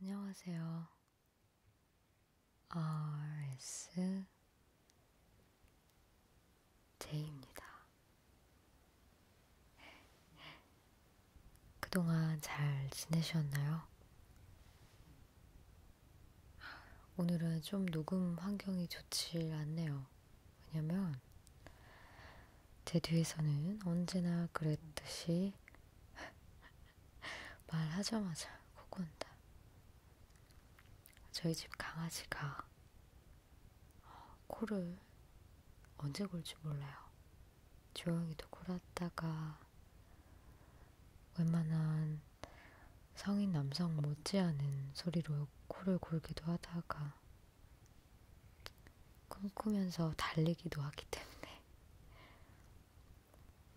안녕하세요. RS 제입니다. 그동안 잘 지내셨나요? 오늘은 좀 녹음 환경이 좋지 않네요. 왜냐면 제 뒤에서는 언제나 그랬듯이 말하자마자 코곤다. 저희 집 강아지가 어, 코를 언제 골지 몰라요. 조용히도 골았다가 웬만한 성인 남성 못지않은 소리로 코를 골기도 하다가 꿈꾸면서 달리기도 하기 때문에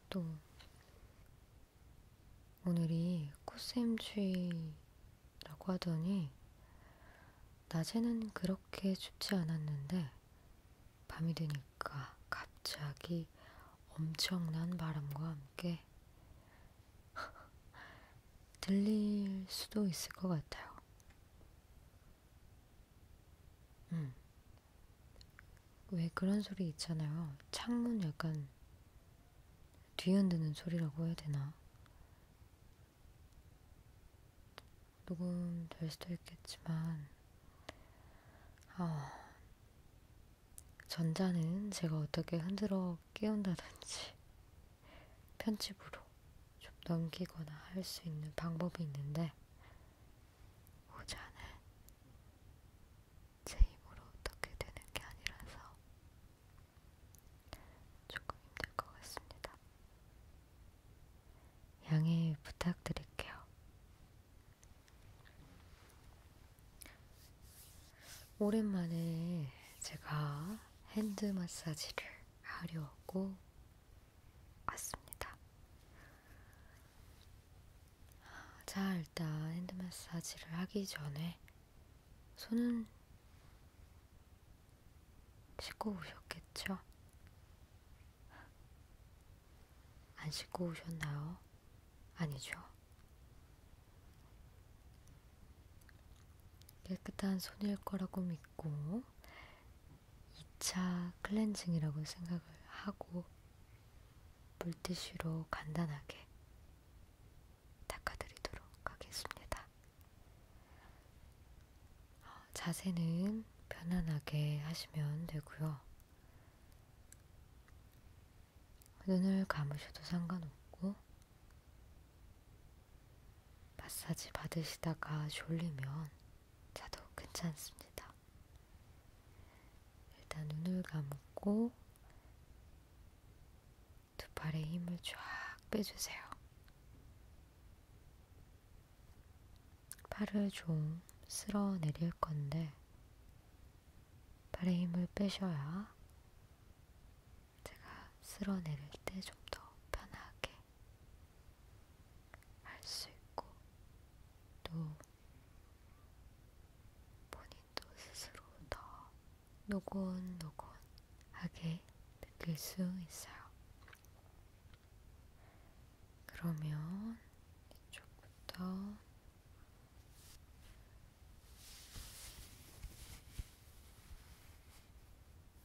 또 오늘이 코스염추위라고 하더니 낮에는 그렇게 춥지 않았는데 밤이 되니까 갑자기 엄청난 바람과 함께 들릴 수도 있을 것 같아요. 음. 왜 그런 소리 있잖아요. 창문 약간 뒤흔드는 소리라고 해야 되나? 녹음될 수도 있겠지만, 아, 전자는 제가 어떻게 흔들어 깨운다든지, 편집으로 좀 넘기거나 할 수 있는 방법이 있는데 후자는 제 힘으로 어떻게 되는 게 아니라서 조금 힘들 것 같습니다. 양해 부탁드릴게요. 오랜만에 제가 핸드 마사지를 하려고 왔습니다. 자, 일단 핸드 마사지를 하기 전에 손은 씻고 오셨겠죠? 안 씻고 오셨나요? 아니죠. 깨끗한 손일 거라고 믿 있고 2차 클렌징이라고 생각을 하고 물티슈로 간단하게 닦아드리도록 하겠습니다. 어, 자세는 편안하게 하시면 되고요. 눈을 감으셔도 상관없고 마사지 받으시다가 졸리면 자도 괜찮습니다. 일단 눈을 감고 두 팔에 힘을 쫙 빼주세요. 팔을 좀 쓸어 내릴 건데 팔에 힘을 빼셔야 제가 쓸어 내릴 때 좀 더 편하게 할수 있고 또 본인도 스스로 더 노곤노곤하게 느낄 수 있어요. 그러면 이쪽부터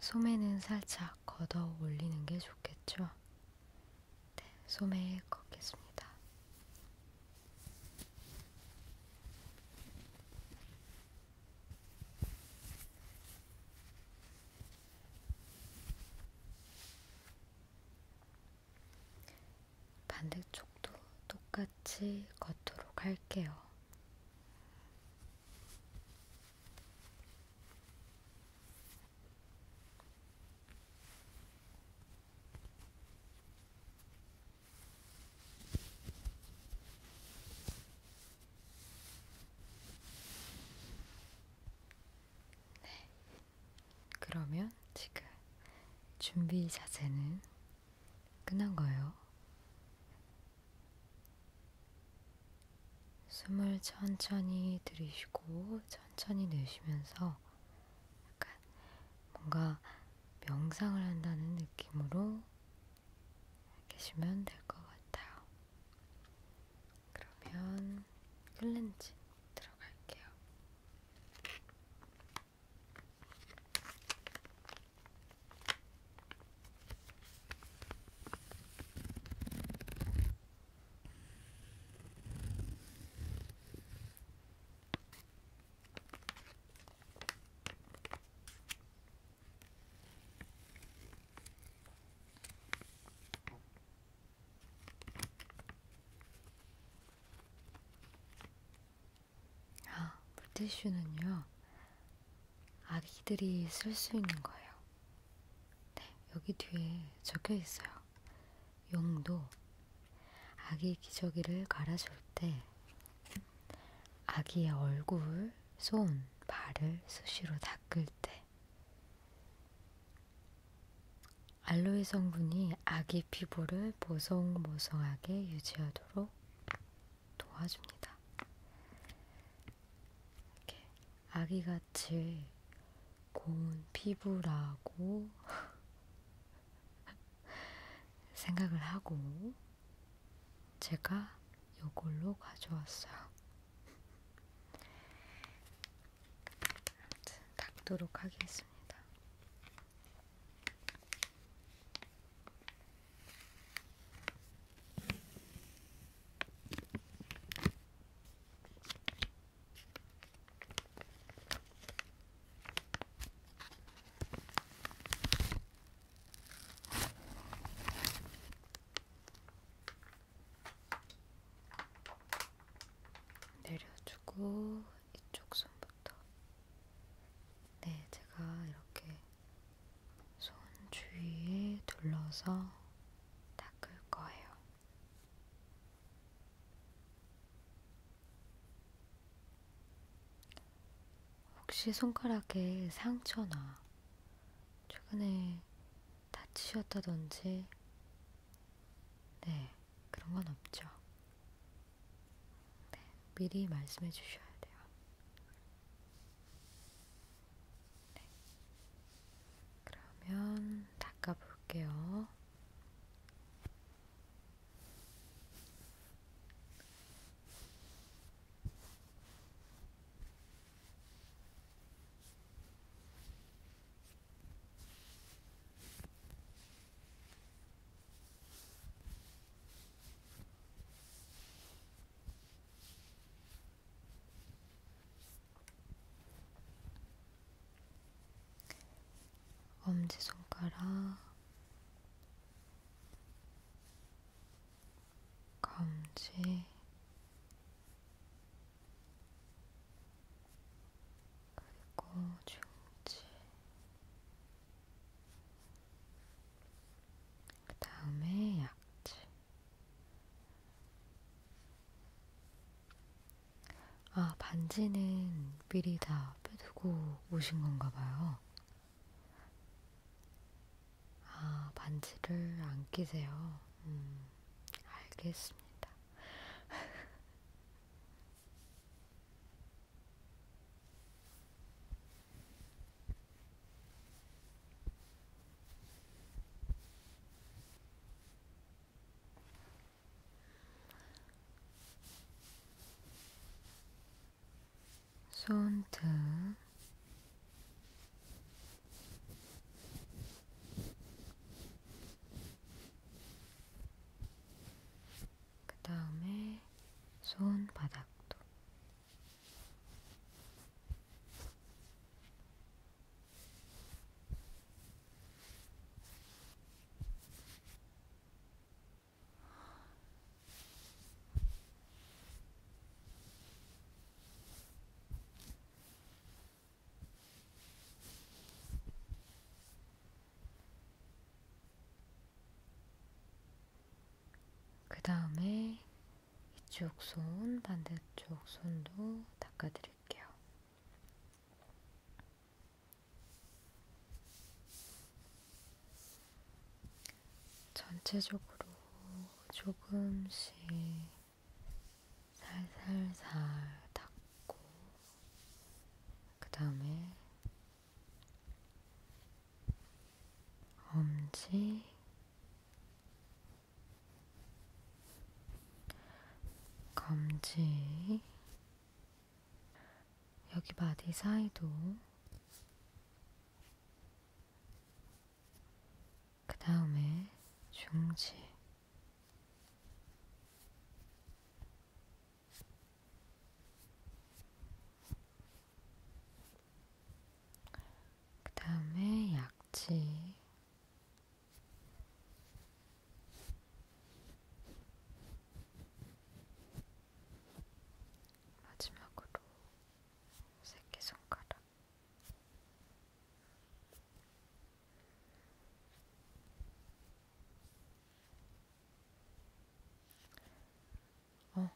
소매는 살짝 걷어 올리는 게 좋겠죠? 네, 소매 걷겠습니다. 반대쪽도 똑같이 걷도록 할게요. 네. 그러면 지금 준비 자세는 끝난 거예요. 숨을 천천히 들이쉬고 천천히 내쉬면서 약간 뭔가 명상을 한다는 느낌으로 계시면 될 것 같아요. 그러면 클렌징 들어갈게요. 아, 물티슈는요, 아기들이 쓸 수 있는 거예요. 네, 여기 뒤에 적혀 있어요. 용도 아기 기저귀를 갈아줄 때 아기의 얼굴, 손, 발을 수시로 닦을 때 알로에 성분이 아기 피부를 보송보송하게 유지하도록 도와줍니다. 이렇게 아기같이 고운 피부라고 생각을 하고 제가 이걸로 가져왔어요. 닦도록 하겠습니다. 내려주고 이쪽 손부터 네 제가 이렇게 손 주위에 둘러서 닦을 거예요. 혹시 손가락에 상처나 최근에 다치셨다던지, 네, 그런 건 없죠. 네, 미리 말씀해 주셔야 돼요. 네. 그러면 닦아볼게요. 네, 엄지손가락, 검지, 그리고 중지, 그 다음에 약지. 아, 반지는 미리 다 빼두고 오신 건가 봐요. 아, 반지를 안 끼세요. 음, 알겠습니다. 손등 그 다음에 손바닥도 그 다음에 이쪽 손, 반대쪽 손도 닦아드릴게요. 전체적으로 조금씩 살살살 닦고, 그 다음에 엄지, 검지, 여기 바디 사이도, 그 다음에 중지, 그 다음에 약지. 마지막으로 새끼손가락. 어,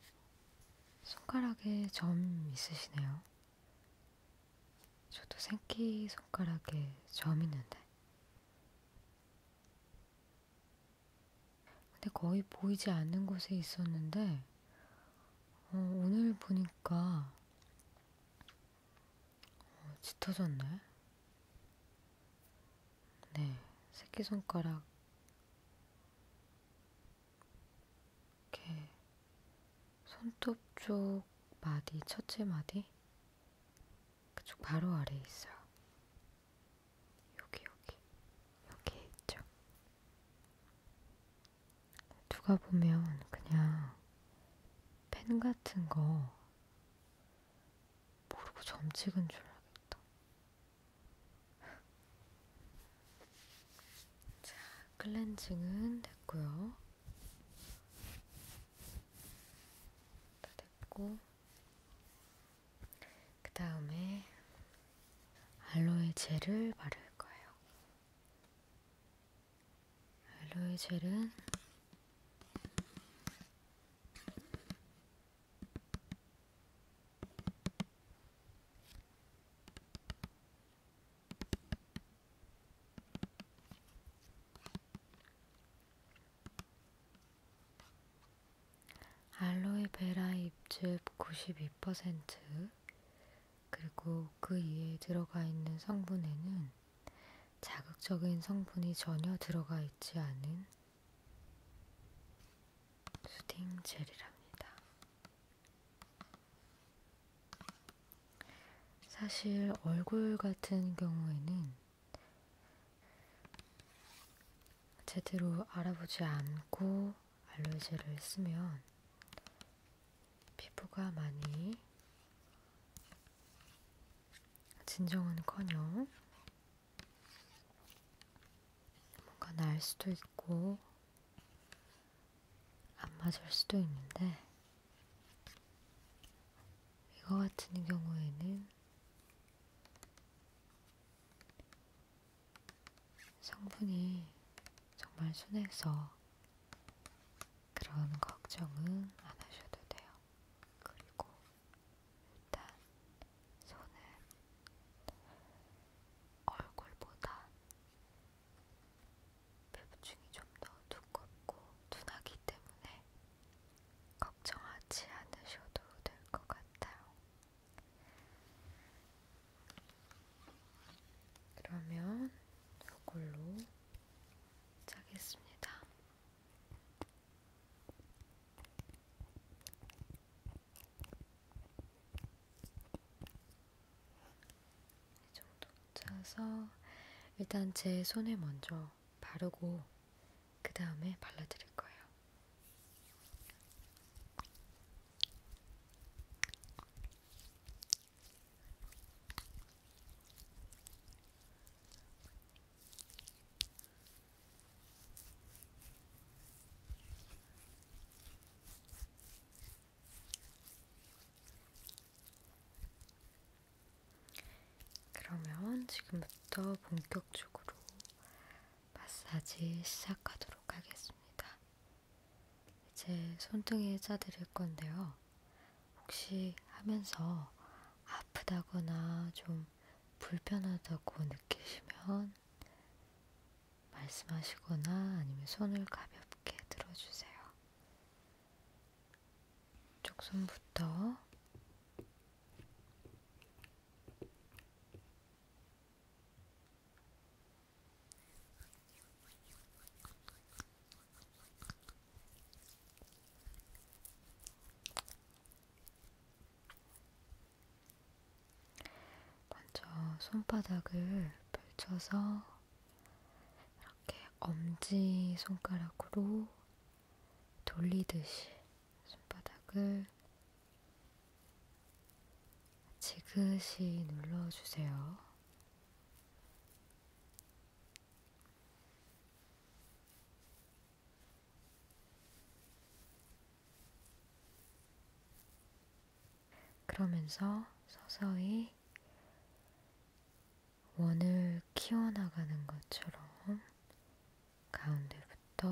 손가락에 점 있으시네요. 저도 새끼 손가락에 점 있는데. 근데 거의 보이지 않는 곳에 있었는데, 어, 오늘 보니까 어, 짙어졌네. 네, 새끼손가락 이렇게 손톱 쪽 마디, 첫째 마디 그쪽 바로 아래에 있어요. 여기 여기 여기에 있죠. 누가 보면 그냥 펜 같은 거 모르고 점 찍은 줄 알겠다. 자, 클렌징은 됐고요. 다 됐고, 그 다음에 알로에 젤을 바를 거예요. 알로에 젤은 알로에베라 잎즙 92% 그리고 그 이에 들어가 있는 성분에는 자극적인 성분이 전혀 들어가 있지 않은 수딩 젤이랍니다. 사실 얼굴 같은 경우에는 제대로 알아보지 않고 알러지를 쓰면 피부가 많이 진정은커녕 뭔가 날 수도 있고, 안 맞을 수도 있는데, 이거 같은 경우에는 성분이 정말 순해서 그런 걱정은 안 하셔도 돼요. 그리고 일단 손은 얼굴보다 피부층이 좀 더 두껍고 둔하기 때문에 걱정하지 않으셔도 될 것 같아요. 그러면 이걸로 짜겠습니다. 이 정도 짜서 일단 제 손에 먼저 바르고 그 다음에 발라드릴 거예요. 그러면 지금부터 본격적으로 마사지 시작하도록 하겠습니다. 이제 손등에 짜드릴 건데요. 혹시 하면서 아프다거나 좀 불편하다고 느끼시면 말씀하시거나 아니면 손을 가볍게 들어주세요. 쪽 손부터 먼저 손바닥을 펼쳐서 이렇게 엄지 손가락으로 돌리듯이 손바닥을 지그시 눌러주세요. 그러면서 서서히 원을 키워나가는 것처럼 가운데부터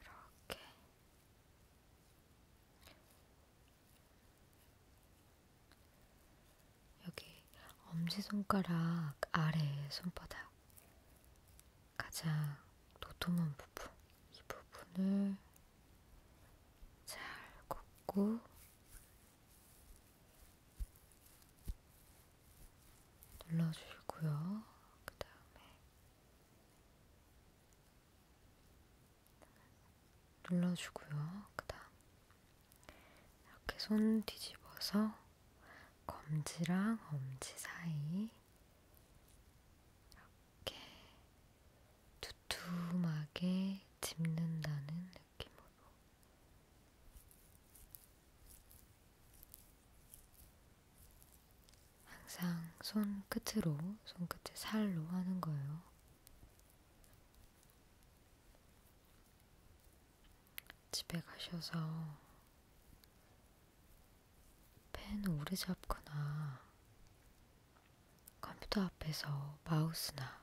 이렇게 여기 엄지손가락 아래 손바닥 가장 도톰한 부분 이 부분을 잘 꽂고 눌러주시고요. 그 다음에 눌러주고요. 그 다음 이렇게 손 뒤집어서 검지랑 엄지 사이 이렇게 두툼하게 집는다는 느낌으로 항상 손 끝으로, 손 끝에 살로 하는 거예요. 집에 가셔서 펜 오래 잡거나 컴퓨터 앞에서 마우스나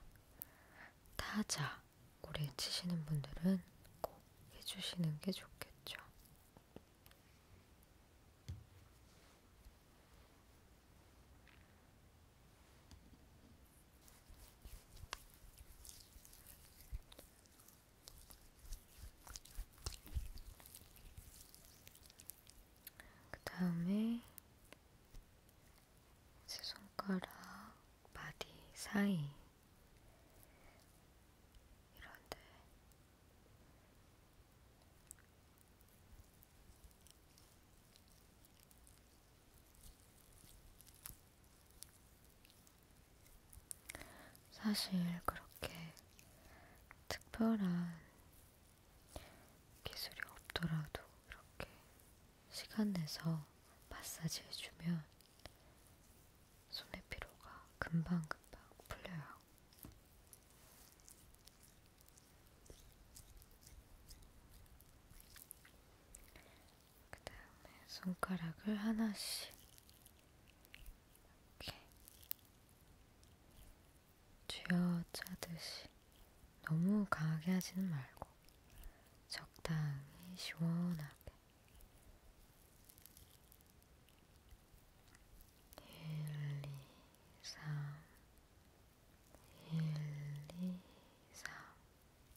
타자 오래 치시는 분들은 꼭 해주시는 게 좋겠죠. 그 다음에 제 손가락 바디 사이 이런데 사실 그렇게 특별한 기술이 없더라도 이렇게 시간 내서 마사지 해주면 손의 피로가 금방금방 풀려요. 그 다음에 손가락을 하나씩 이렇게 쥐어짜듯이 너무 강하게 하지는 말고 적당히 시원하게 일, 이, 삼, 일, 이, 삼,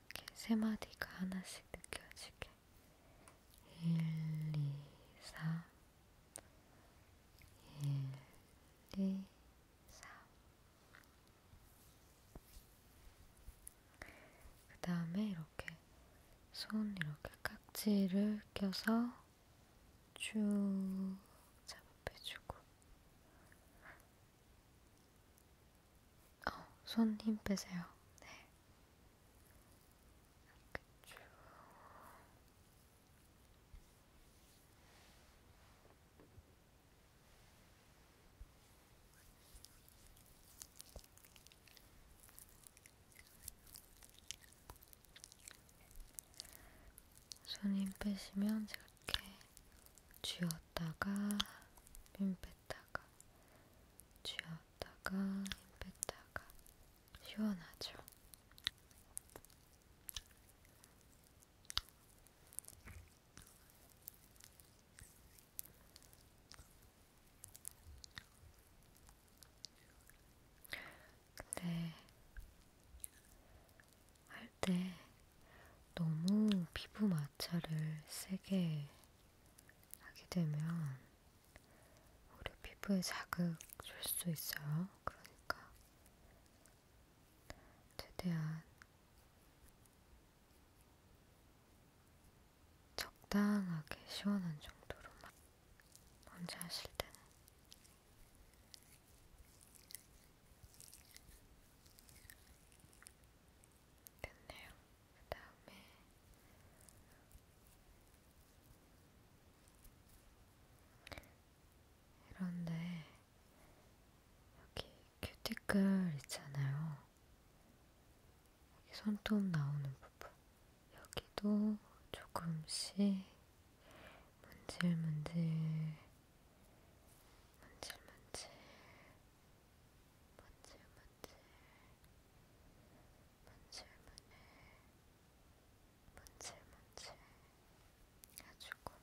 이렇게 세 마디가 하나씩 느껴지게 1, 2, 3 1, 2, 3그 다음에 이렇게 손 이렇게 깍지를 껴서 쭉 잡아빼주고 어, 손힘 빼세요. 네. 이렇게 쭉. 손힘 빼시면 제가 이렇게 쥐었다가 힘 빼. 뺐다가 쥐었다가 힘 뺐다가 시원하죠? 근데 할 때 너무 피부 맛이 마찰을 세게 하게 되면 우리 피부에 자극 줄수 있어요. 그러니까 최대한 적당하게 시원한 정도로만 먼저 하실 때는 됐네요. 그 다음에 이런데 여기 큐티클 있잖아요. 여기 손톱 나오는 부분 여기도 조금씩 문질문질 문질문질 문질문질 문질문을 문질문질 해주고 음.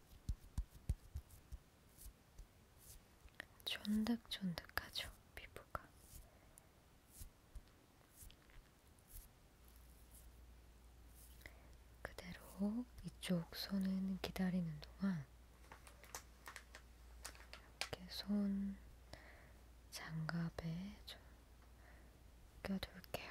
쫀득쫀득하죠, 피부가. 그대로 이쪽 손은 기다리는 동안 이렇게 손 장갑에 좀 껴둘게요.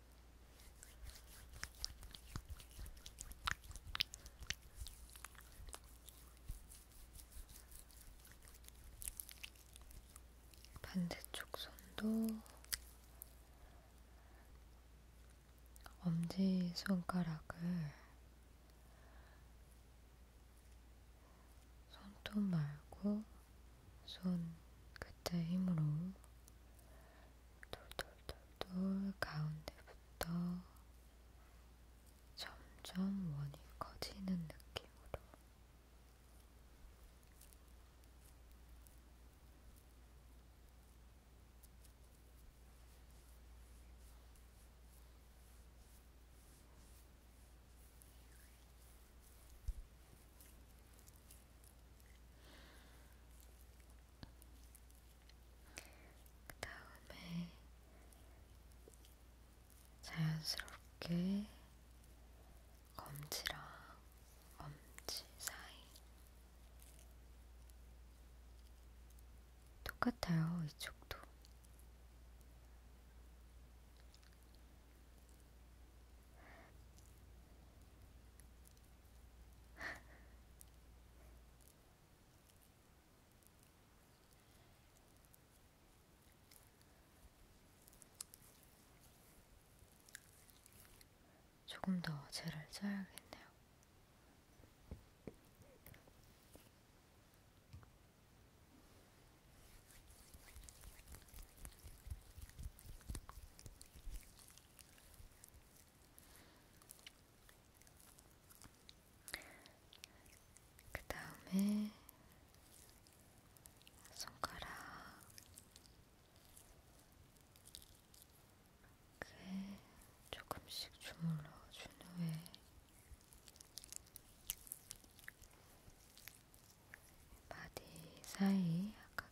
반대쪽 손도 엄지 손가락을 손톱 말고 손 끝에 힘으로 돌돌돌돌 가운데부터 점점 원이 커지는 느낌으로 그 다음에 자연스럽게 검지랑 엄지 사이 똑같아요. 이쪽도 조금 더 젤을 짜야겠네요. 그 다음에 손가락 이렇게 조금씩 주물러 준 후에 바디 사이 아까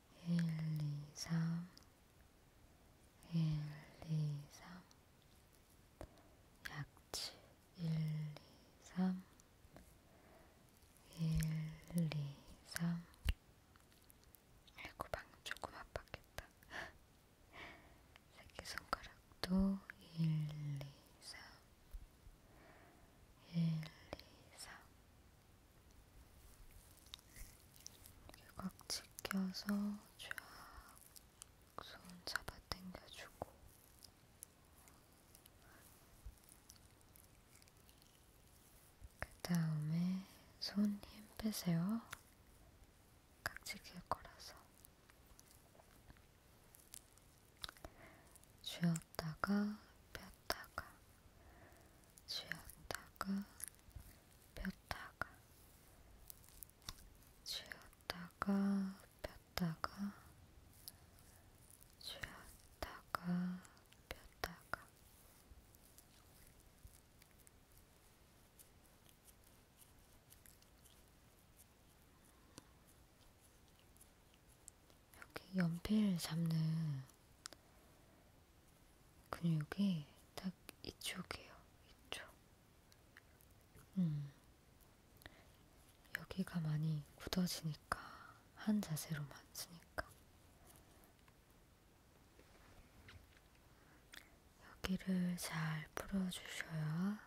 1, 2, 3 1, 2, 3 약치 1, 2, 3 1, 2, 3 아이고 방금 조금 아팠겠다 새끼손가락도 1, 2, 3 1, 2, 3 이렇게 꽉 지켜서 쫙 손 잡아당겨주고 그 다음에 손 힘 빼세요. 깍지 길 거라서 쥐었다가 폈다 쉬었다가 쉬었다가 폈다가 쉬었다가 폈다가 쉬었다가 폈다가 여기 연필 잡는 근육이 딱 이쪽이에요. 이쪽. 음. 여기가 많이 굳어지니까 한 자세로 만지니까 여기를 잘 풀어주셔야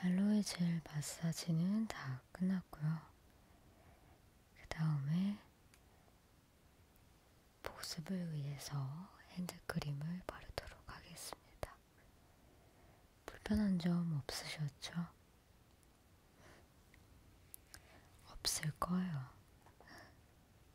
알로에 젤 마사지는 다 끝났고요. 그 다음에 복습을 위해서 핸드크림을 바르도록 하겠습니다. 불편한 점 없으셨죠? 없을 거예요.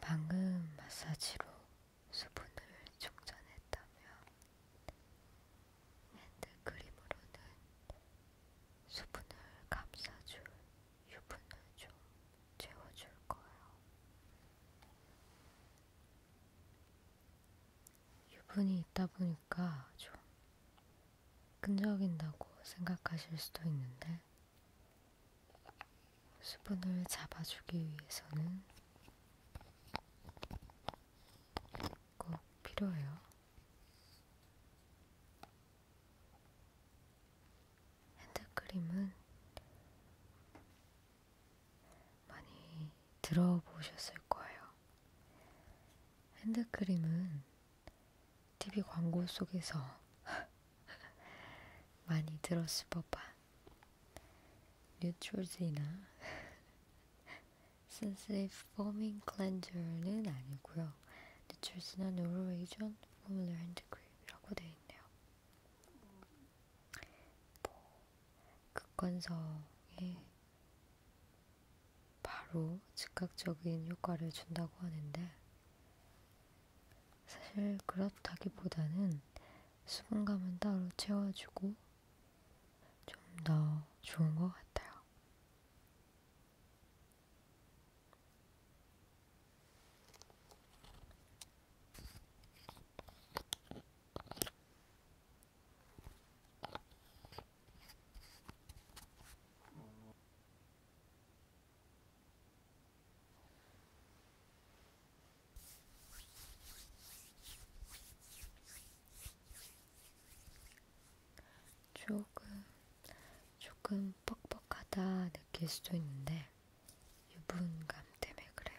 방금 마사지로 수분을 충전했다면 핸드크림으로는 수분을 감싸줄 유분을 좀 채워줄 거예요. 유분이 있다 보니까 좀 끈적인다고 생각하실 수도 있는데 수분을 잡아주기 위해서는 꼭 필요해요. 핸드크림은 많이 들어보셨을 거예요. 핸드크림은 TV 광고 속에서 많이 들었을 법한 뉴트로지나 센스의 포밍 클렌저는 아니고요. 뉴트로지나 노르웨이전 포뮬러 핸드크림이라고 되어 있네요. 뭐, 극건성에 바로 즉각적인 효과를 준다고 하는데 사실 그렇다기보다는 수분감은 따로 채워주고 좀더 좋은 것 같아요. 조금, 조금 뻑뻑하다 느낄 수도 있는데, 유분감 때문에 그래요.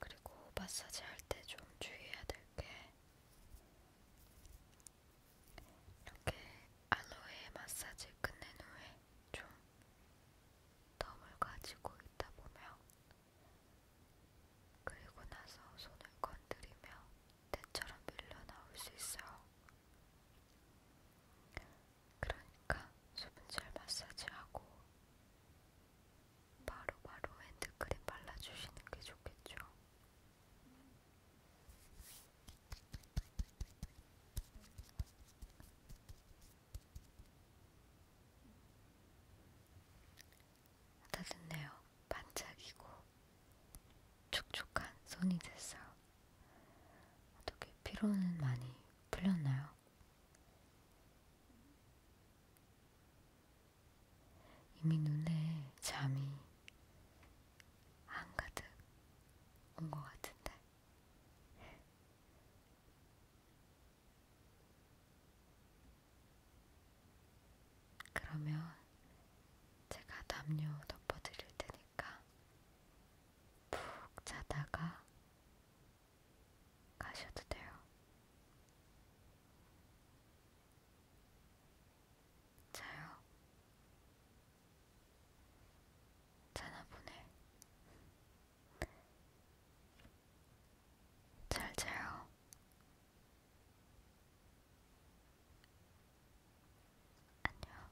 그리고 마사지 할 때 좀 주의해야 될 게 이렇게 알로에 마사지 끝낸 후에 좀 덤을 가지고 있다 보며 그리고 나서 손을 건드리며 때처럼 밀려나올 수 있어요. 그러니까 수분젤 마사지하고 바로바로 핸드크림 발라주시는 게 좋겠죠. 따뜻네요. 반짝이고 촉촉한 손이 됐어요. 어떻게 피로는 많이 풀렸나요? 이미 눈에 잠이 한가득 온 것 같은데 그러면 제가 담요 덮어드릴 테니까 푹 자다가 가셔도 돼요. 자요. 자나 보네. 잘 자요. 안녕.